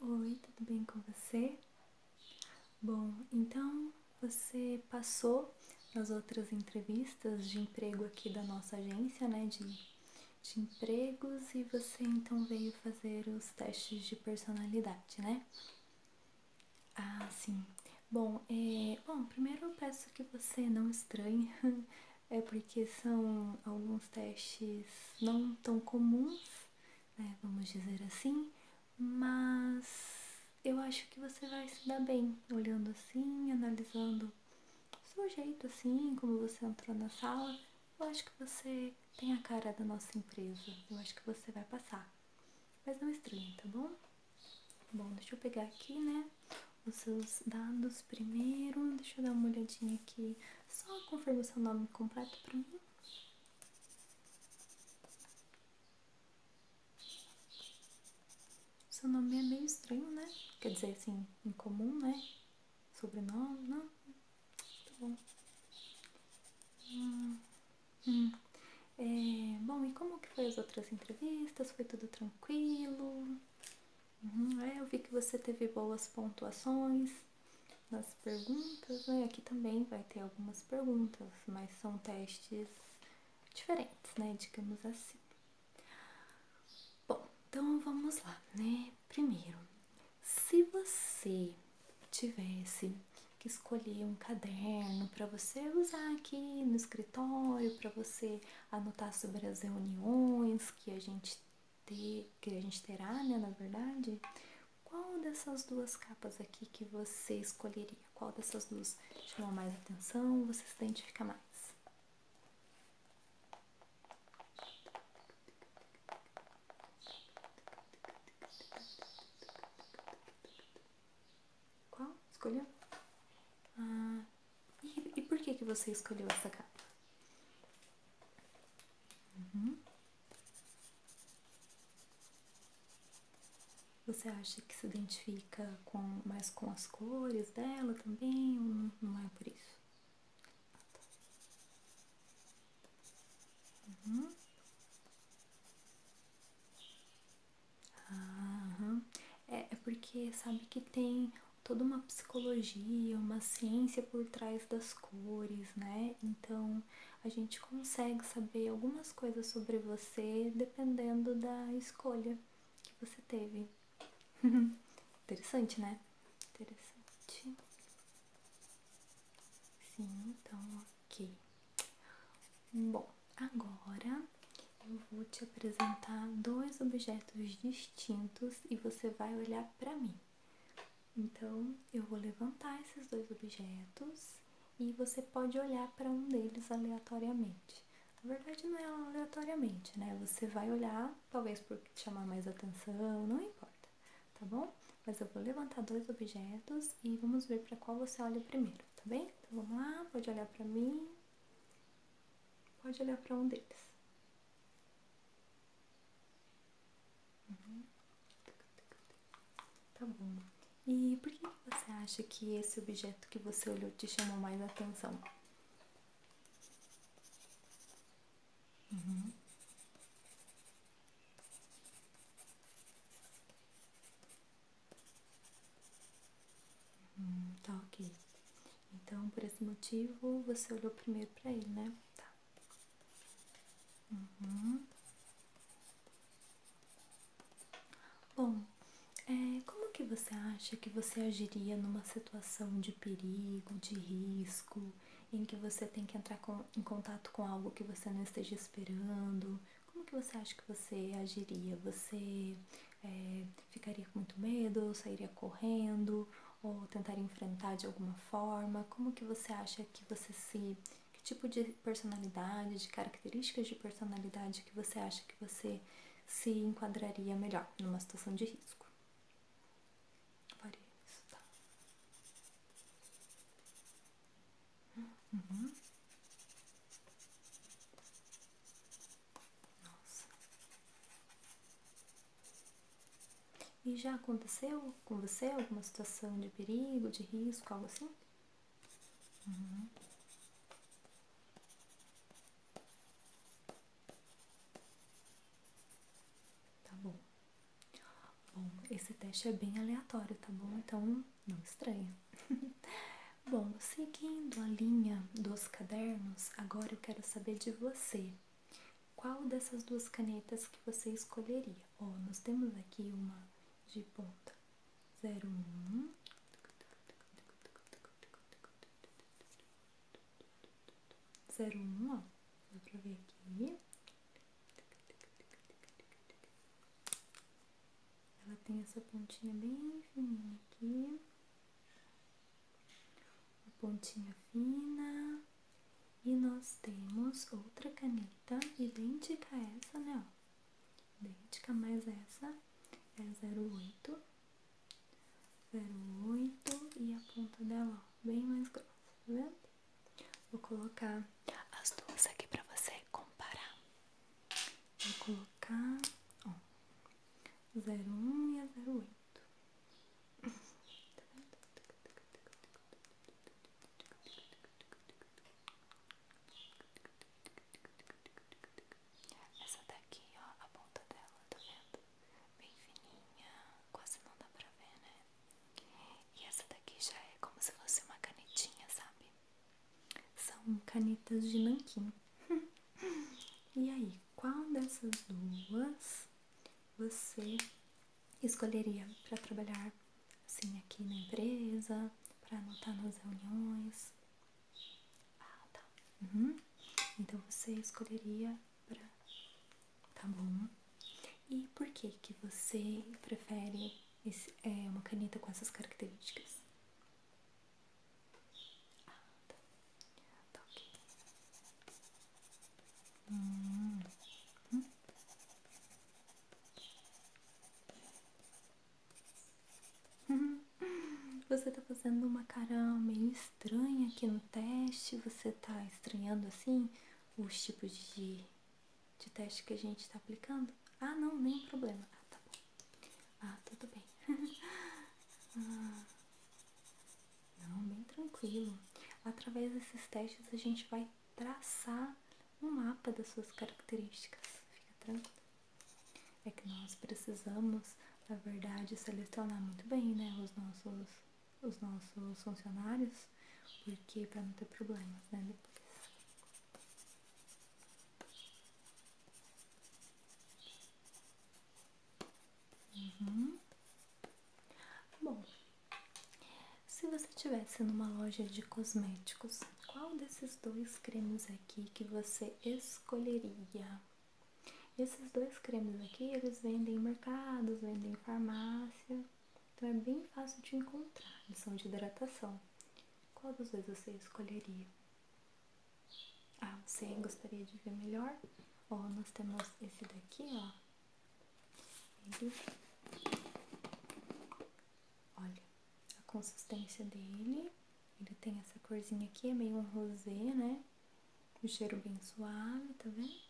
Oi, tudo bem com você? Bom, então você passou nas outras entrevistas de emprego aqui da nossa agência, né, de, empregos, e você então veio fazer os testes de personalidade, né? Ah, sim. Bom, é, bom, primeiro eu peço que você não estranhe é porque são alguns testes não tão comuns, né, vamos dizer assim, mas eu acho que você vai se dar bem olhando assim, analisando o seu jeito assim, como você entrou na sala. Eu acho que você tem a cara da nossa empresa, eu acho que você vai passar. Mas não estranhe, tá bom? Bom, deixa eu pegar aqui, né? Os seus dados primeiro. Deixa eu dar uma olhadinha aqui só confirma seu nome completo para mim. Seu nome é meio estranho, né? Quer dizer, assim, incomum, né? Sobrenome, não? Tá bom. Hum, hum. É, bom, e como que foi as outras entrevistas? Foi tudo tranquilo? Uhum, é, eu vi que você teve boas pontuações nas perguntas, né? Aqui também vai ter algumas perguntas, mas são testes diferentes, né? Digamos assim. Bom, então vamos lá, né? Primeiro, se você tivesse que escolher um caderno para você usar aqui no escritório, para você anotar sobre as reuniões que a gente que a gente terá, né, na verdade, qual dessas duas capas aqui que você escolheria? Qual dessas duas chama mais atenção? Você se identifica mais? Qual? Escolheu? Ah, e, e por que, que você escolheu essa capa? Uhum. Você acha que se identifica com, mais com as cores dela também? Ou não é por isso? Ah, tá. uhum. Ah, é, é porque sabe que tem toda uma psicologia, uma ciência por trás das cores, né? Então a gente consegue saber algumas coisas sobre você dependendo da escolha que você teve. Interessante, né? Interessante. Sim, então ok. Bom, agora eu vou te apresentar dois objetos distintos e você vai olhar para mim, então, eu vou levantar esses dois objetos e você pode olhar para um deles aleatoriamente. Na verdade, não é aleatoriamente, né? Você vai olhar, talvez por chamar mais atenção, não importa, tá bom? Mas eu vou levantar dois objetos e vamos ver para qual você olha primeiro, tá bem? Então vamos lá, pode olhar para mim. Pode olhar para um deles. Tá bom. E por que você acha que esse objeto que você olhou te chamou mais atenção? Uhum. Hum, tá ok. Então, por esse motivo, você olhou primeiro pra ele, né? Tá. Uhum. Bom, é, como que você acha que você agiria numa situação de perigo, de risco, em que você tem que entrar em contato com algo que você não esteja esperando? Como que você acha que você agiria? Você é, ficaria com muito medo, sairia correndo, ou tentar enfrentar de alguma forma? Como que você acha que você se que tipo de personalidade, de características de personalidade que você acha que você se enquadraria melhor numa situação de risco? Pare isso, tá? Uhum. Nossa. E já aconteceu com você alguma situação de perigo, de risco, algo assim? Uhum. Tá bom. Bom, esse teste é bem aleatório, tá bom? Então não estranha. bom, seguindo a linha dos cadernos, agora eu quero saber de você. Qual dessas duas canetas que você escolheria? Ó, nós temos aqui uma de ponta 01 01, ó, dá pra ver aqui. Ela tem essa pontinha bem fininha aqui uma pontinha fina. E nós temos outra caneta idêntica a essa, né? Ó. Idêntica, mas essa é 08. 08 e a ponta dela, ó, bem mais grossa, tá vendo? Vou colocar as duas aqui pra você comparar. Vou colocar, ó, 01 e a 08. Essa daqui, ó, a ponta dela, tá vendo? Bem fininha, quase não dá pra ver, né? E essa daqui já é como se fosse uma canetinha, sabe? São canetas de nanquim. e aí, qual dessas duas você escolheria para trabalhar assim aqui na empresa, para anotar nas reuniões? Ah, tá. Uhum. Então você escolheria para. Tá bom. E por que que você prefere esse, é, uma caneta com essas características? Ah, tá. Tá hum. Você está fazendo uma caramba meio estranha aqui no teste. Você está estranhando assim os tipos de, de teste que a gente está aplicando? Ah, não, nem problema. Ah, tá bom. Ah, tudo bem. Ah. Não, bem tranquilo. Através desses testes a gente vai traçar um mapa das suas características. Fica tranquilo. É que nós precisamos, na verdade, selecionar muito bem, né, os nossos, os nossos funcionários, porque para não ter problemas, né, Uhum. Bom, se você estivesse numa loja de cosméticos, qual desses dois cremes aqui que você escolheria? Esses dois cremes aqui, eles vendem em mercados, vendem em farmácia, então é bem fácil de encontrar, eles são de hidratação. Qual dos dois você escolheria? Ah, você gostaria de ver melhor? Ó, nós temos esse daqui, ó. Olha a consistência dele. Ele tem essa corzinha aqui, é meio um rosé, né? O cheiro bem suave, tá vendo?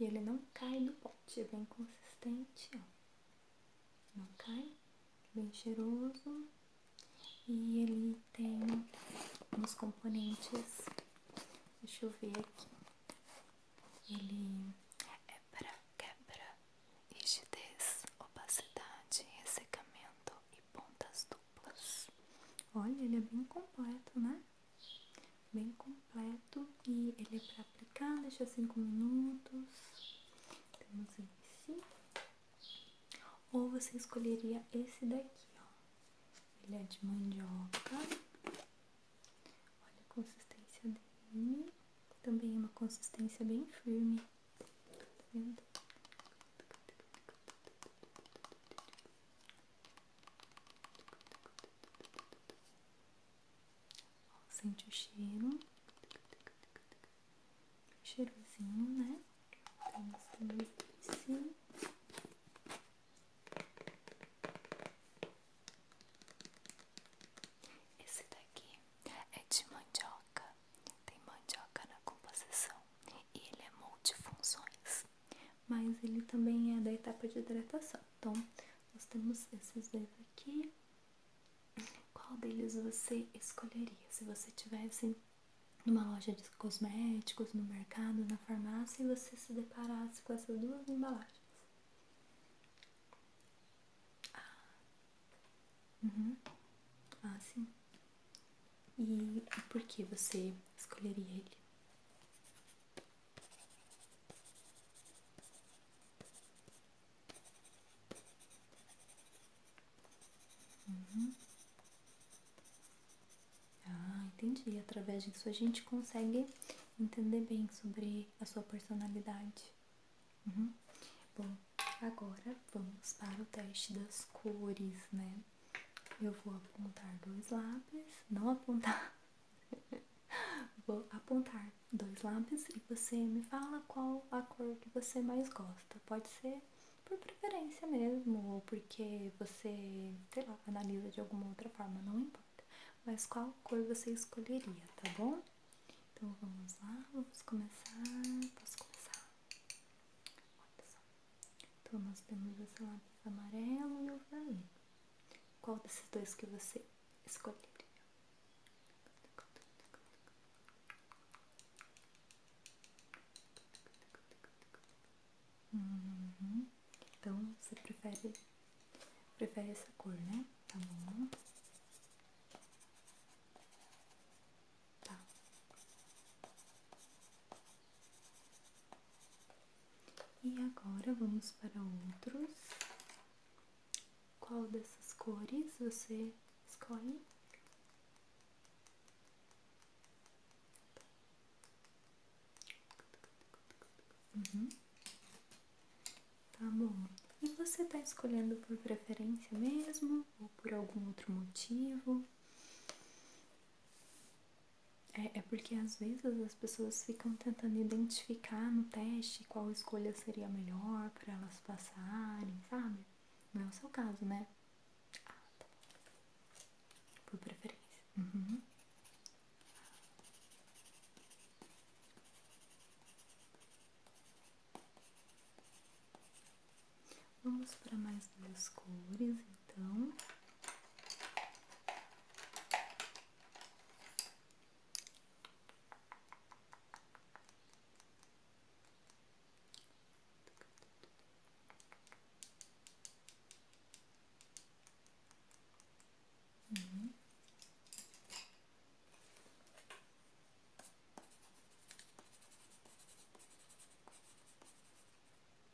E ele não cai do pote, é bem consistente, ó ok? Bem cheiroso e ele tem uns componentes, deixa eu ver aqui, ele é para quebra, rigidez, opacidade, ressecamento e pontas duplas. Olha, ele é bem completo, né? bem completo e ele é para aplicar, deixa 5 minutos. Temos esse. Ou você escolheria esse daqui, ó. Ele é de mandioca. Olha a consistência dele. Também é uma consistência bem firme. Tá vendo? Sente o cheiro. Cheirosinho, né? Temos também esse. Esse daqui é de mandioca. Tem mandioca na composição. E ele é multifunções. Mas ele também é da etapa de hidratação. Então, nós temos esses dois aqui. Qual deles você escolheria se você estivesse numa loja de cosméticos, no mercado, na farmácia e você se deparasse com essas duas embalagens? ah, uhum. ah sim. E por que você escolheria ele? Uhum. Ah, entendi. Através disso a gente consegue entender bem sobre a sua personalidade. Uhum. Bom, agora vamos para o teste das cores, né? Eu vou apontar dois lápis, não apontar Vou apontar dois lápis e você me fala qual a cor que você mais gosta. Pode ser por preferência mesmo, ou porque você, sei lá, analisa de alguma outra forma, não importa. Mas qual cor você escolheria, tá bom? Então vamos lá, vamos começar. Posso começar? Olha só. Então nós temos esse lápis amarelo e o vermelho. Qual desses dois que você escolheria? Uhum. Então você prefere prefere essa cor, né? Tá bom. Tá. E agora vamos para outros. Qual dessas cores você escolhe? Uhum. Tá bom. E você tá escolhendo por preferência mesmo? Ou por algum outro motivo? É, é porque às vezes as pessoas ficam tentando identificar no teste qual escolha seria melhor para elas passarem, sabe? Não é o seu caso, né? Ah, tá Por preferência. Uhum. Vamos para mais duas cores, então.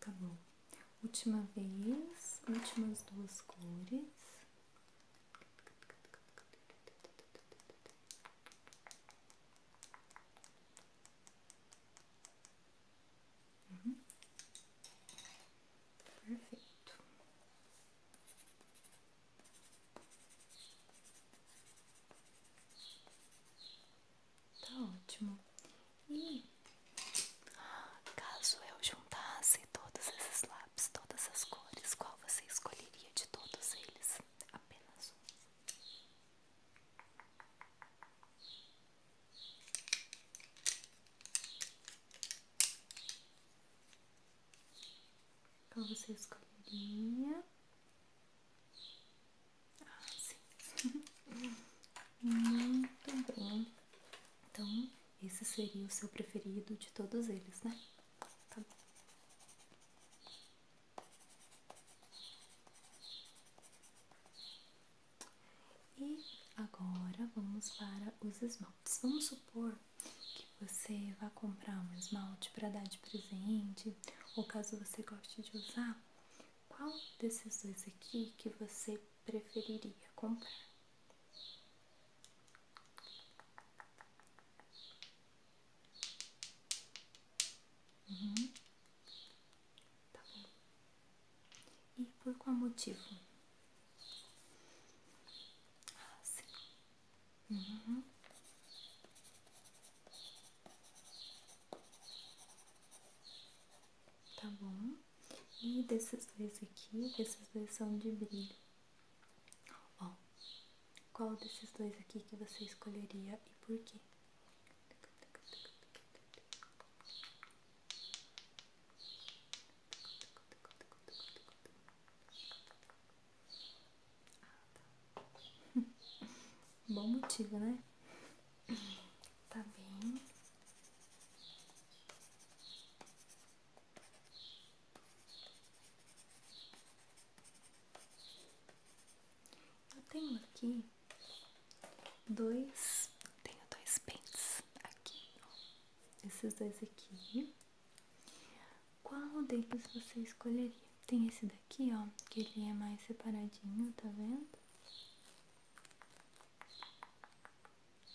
Tá bom, última vez, últimas duas cores. Uhum. Perfeito. Tá ótimo. E caso eu já juntasse todos esses lápis, todas as cores, qual você escolheria de todos eles? Apenas um. Qual você escolheria? Ah, sim. Muito bom. Então, esse seria o seu preferido de todos eles, né? Tá bom. E agora vamos para os esmaltes. Vamos supor que você vá comprar um esmalte para dar de presente, ou caso você goste de usar, qual desses dois aqui que você preferiria comprar? Uhum. Tá bom. E por qual motivo? Ah, uhum. Tá bom. E desses dois aqui, esses dois são de brilho. Ó, qual desses dois aqui que você escolheria e por quê? Bom motivo, né? Tá bem. Eu tenho aqui dois, tenho dois pentes aqui, ó. esses dois aqui. Qual deles você escolheria? Tem esse daqui, ó, que ele é mais separadinho, tá vendo?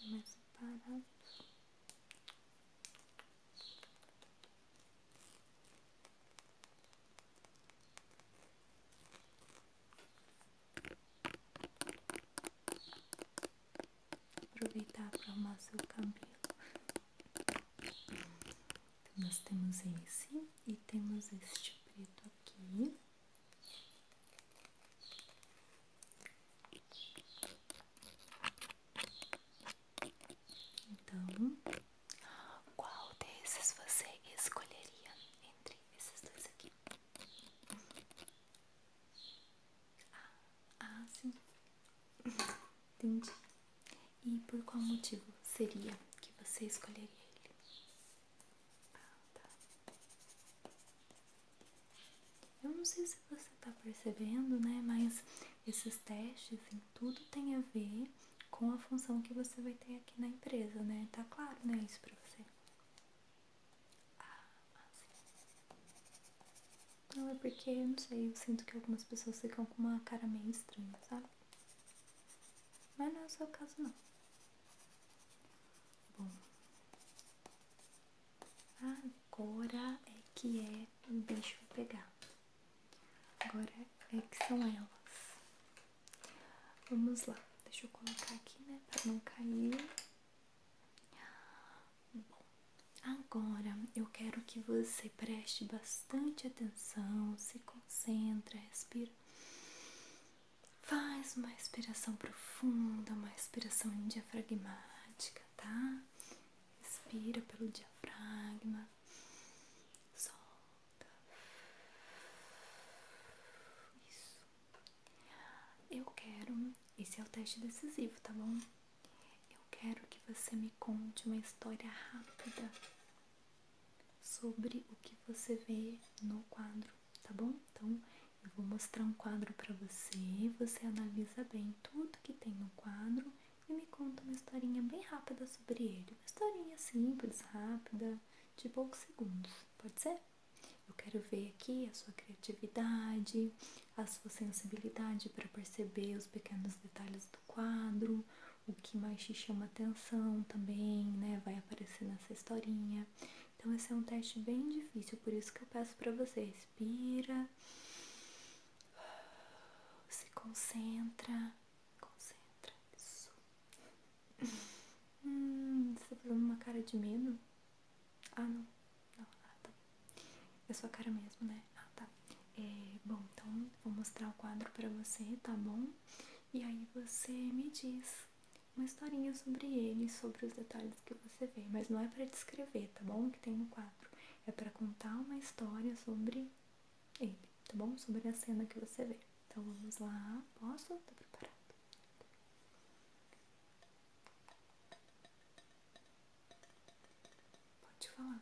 É mais separado. Aproveitar para arrumar seu cabelo. nós temos esse e temos este preto aqui. Então, qual desses você escolheria entre esses dois aqui? Ah, ah, sim. Entendi. E por qual motivo seria que você escolheria ele? Ah, tá. Eu não sei se você tá percebendo, né? Mas esses testes em assim, tudo tem a ver com a função que você vai ter aqui na empresa, né? Tá claro, né? Isso pra você. Ah, assim. Não, é porque, não sei, eu sinto que algumas pessoas ficam com uma cara meio estranha, sabe? Mas não é o seu caso, não. Bom, Agora é que é deixa eu pegar. Agora é que são elas. Vamos lá. Deixa eu colocar aqui, né? Pra não cair. agora eu quero que você preste bastante atenção, se concentra, respira. Faz uma respiração profunda, uma respiração diafragmática tá? Inspira pelo diafragma, solta. Isso. Eu quero. Esse é o teste decisivo, tá bom? Eu quero que você me conte uma história rápida sobre o que você vê no quadro, tá bom? Então eu vou mostrar um quadro para você, você analisa bem tudo que tem no quadro e me conta uma historinha bem rápida sobre ele. Uma historinha simples, rápida, de poucos segundos, pode ser? Eu quero ver aqui a sua criatividade, a sua sensibilidade para perceber os pequenos detalhes do quadro, o que mais te chama atenção também, né? Vai aparecer nessa historinha. Então esse é um teste bem difícil, por isso que eu peço para vocês respira, se concentra, concentra, isso. Hum, você tá fazendo uma cara de medo? Ah, não, não, ah, tá. É sua cara mesmo, né? Ah, tá. É, bom, então vou mostrar o quadro pra você, tá bom? E aí você me diz uma historinha sobre ele, sobre os detalhes que você você ver, mas não é para descrever, tá bom? O que tem no quadro é para contar uma história sobre ele, tá bom? Sobre a cena que você vê. Então vamos lá, posso? Tá preparado? Pode falar.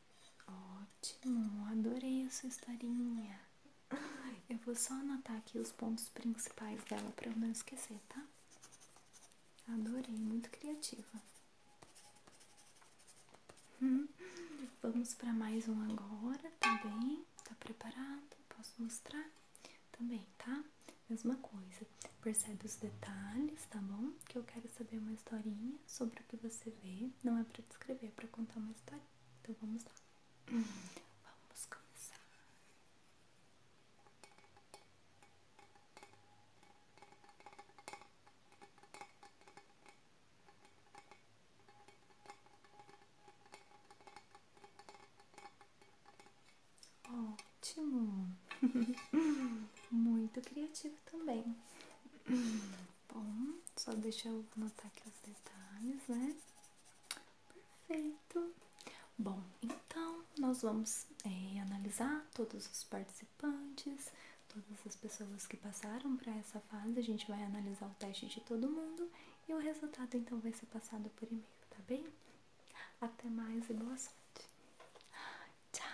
Ótimo, adorei a sua historinha. Eu vou só anotar aqui os pontos principais dela para eu não esquecer, tá? Adorei, muito criativa. vamos para mais um agora, também? Tá preparado? Posso mostrar? Também, tá? Mesma coisa. Percebe os detalhes, tá bom? Que eu quero saber uma historinha sobre o que você vê. Não é para descrever, é para contar uma história. Né? Então vamos lá. Vamos começar. Ótimo! Muito criativo também bom, só deixa eu anotar aqui os detalhes, né? Perfeito. Bom, então nós vamos é, analisar todos os participantes, todas as pessoas que passaram para essa fase. A gente vai analisar o teste de todo mundo e o resultado então vai ser passado por e-mail, tá bem? Até mais e boa sorte. Tchau!